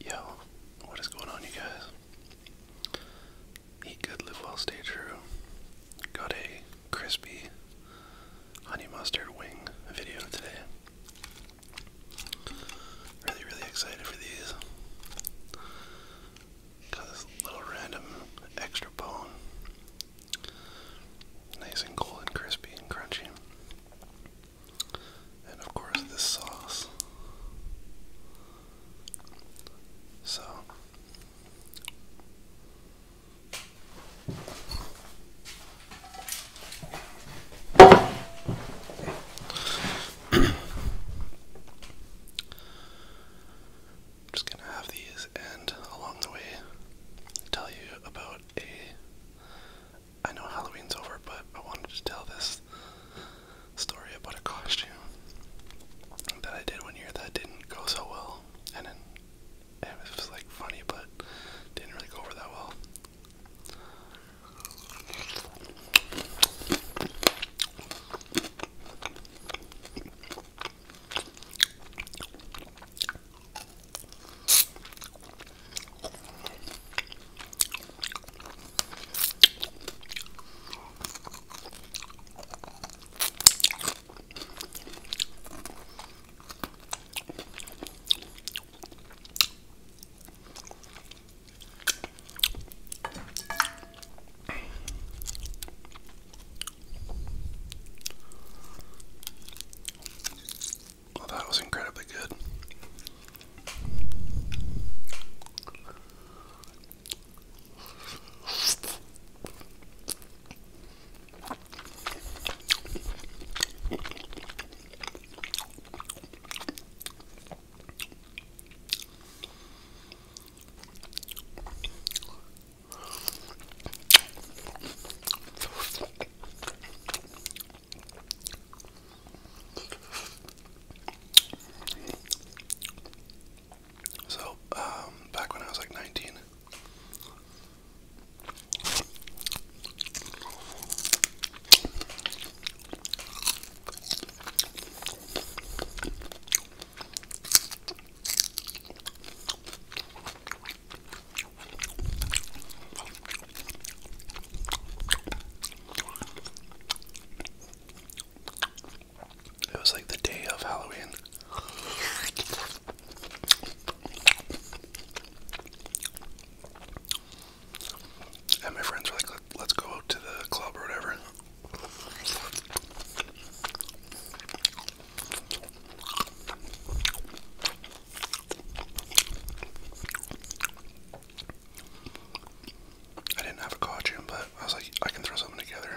Yo, what is going on, you guys? Eat good, live well, stay true. Got a crispy honey mustard wing video today. Really, really excited for these. Got this little random extra bone. Nice and cold crispy and crunchy. And of course, this sauce. So, I'm just going to have these, and along the way, tell you about a. I know Halloween's over, but I wanted to tell this story about a costume that I did one year that didn't go so well, and then it was like funny, but didn't really go over that well that was incredibly good. So, um, back when I was like 19, it was like the day of Halloween. And my friends were like, let's go out to the club or whatever. I didn't have a costume, but I was like, I can throw something together.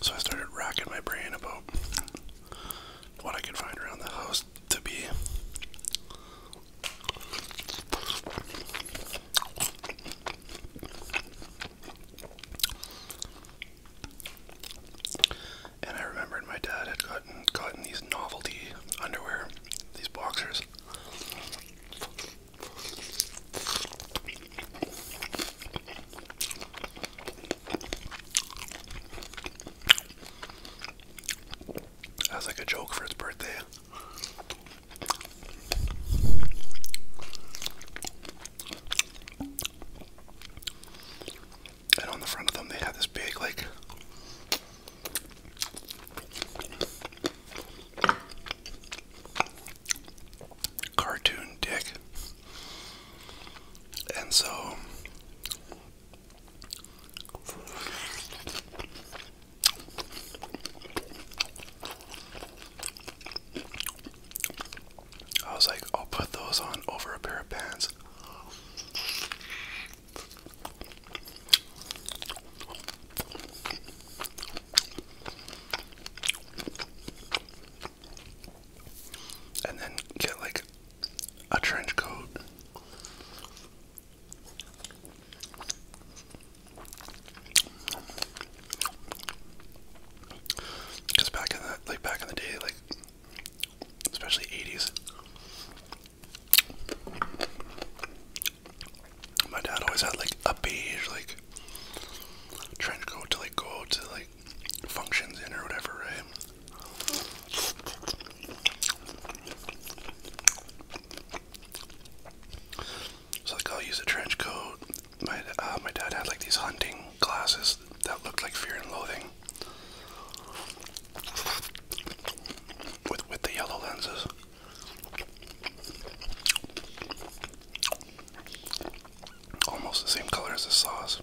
So I started racking my brain about what I could find around the house to be and I remembered my dad had gotten gotten these novelty underwear, these boxers. That's like a joke for his birthday. And on the front of them, they had this big, like, cartoon dick. And so. I was like, I'll put those on over a pair of pants. And then get like a trench coat. Because back in the like back in the day, like especially '80s, my dad always had like a beige like trench coat to like go to like functions in or whatever, right? So like I'll use a trench coat, my uh, my dad had like these hunting glasses that looked like Fear and Loathing with with the yellow lenses. Almost the same color as the sauce.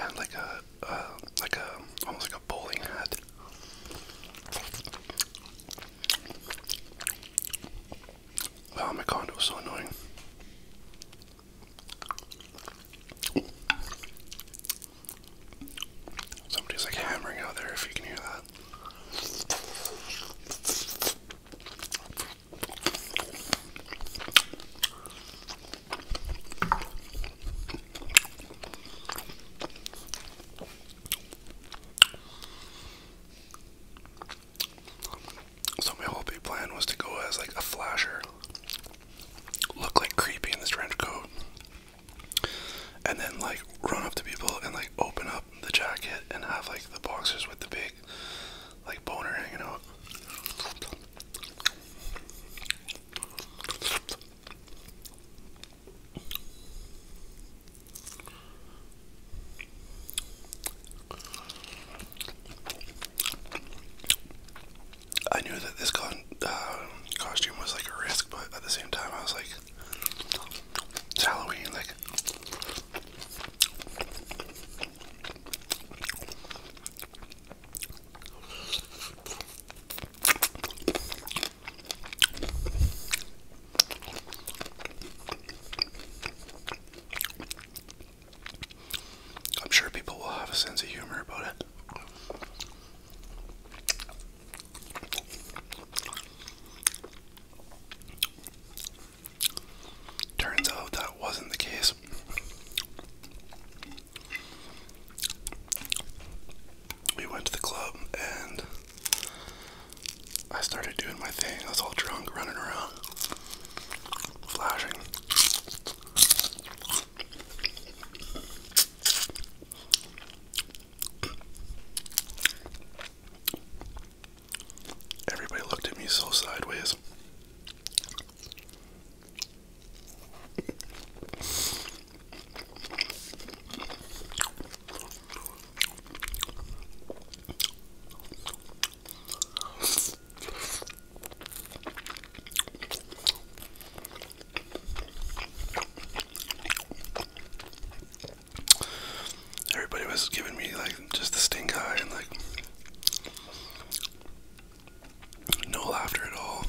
And like a, like a, almost like a bowling hat. Oh my condo is so annoying. Somebody's like hammering out there if you can hear that. So my whole big plan was to go as like a flasher, look like creepy in this trench coat, and then like run up to people and like open up the jacket and have like the boxers with the big like boner hanging out. I knew that this uh, costume was like a risk, but at the same time, I was like, it's Halloween, like. I'm sure people will have a sense of humor about it. Turns out that wasn't the case we went to the club and I started doing my thing. I was all drunk, running around, flashing. Everybody looked at me so sideways. Everybody was giving me like just the stink eye and like no laughter at all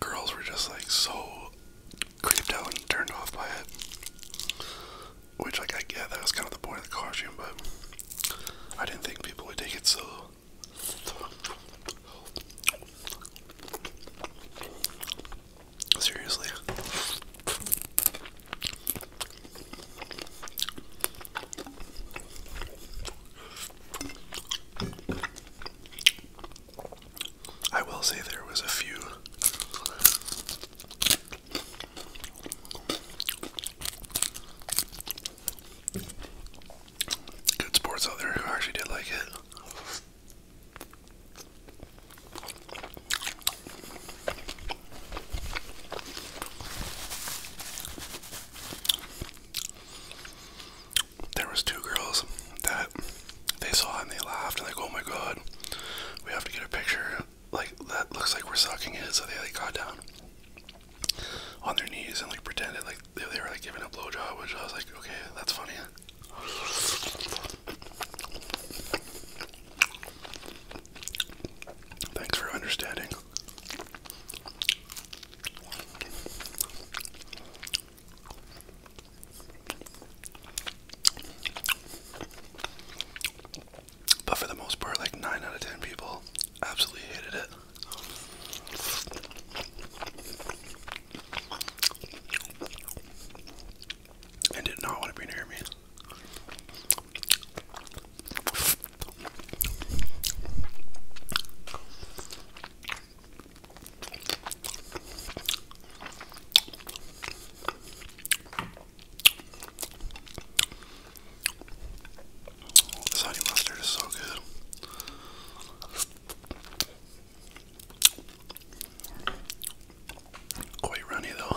girls were just like so creeped out and turned off by it. Which, like, I get that was kind of the point of the costume, but I didn't think people would take it so. Seriously. I will say there was a few good sports out there who actually did like it there was two girls that they saw and they laughed and like, oh my god, we have to get a picture. Like that looks like we're sucking it. So they like got down on their knees and like pretended like they, they were like giving a blowjob, which I was like, okay, that's funny. Thanks for understanding. But for the most part, like 9 out of 10 people absolutely hated it. And did not want to be near me. This honey mustard is so good. Quite runny though.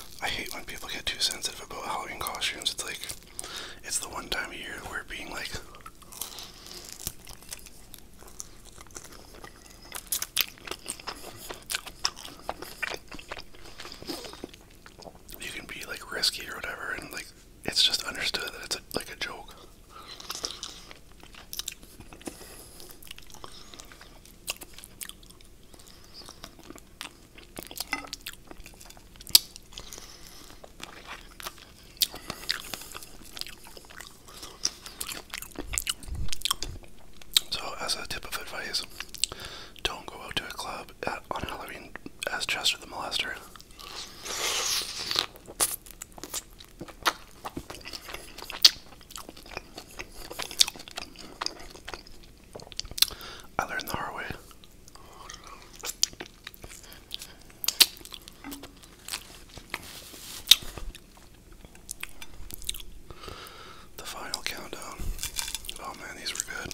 I hate when people get too sensitive about Halloween costumes. It's like, it's the one time of year where being like, you can be like risky or whatever, and like, it's just understood that it's like a joke. So, as a tip of advice, don't go out to a club on Halloween as Chester the Molester. I learned the hard way. The final countdown. Oh man, these were good.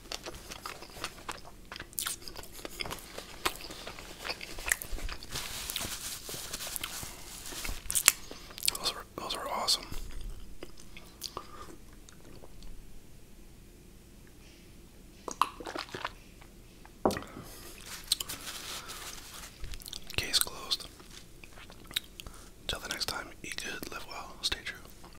Those are those are awesome. Case closed. Till the next time, eat good, live well, stay true.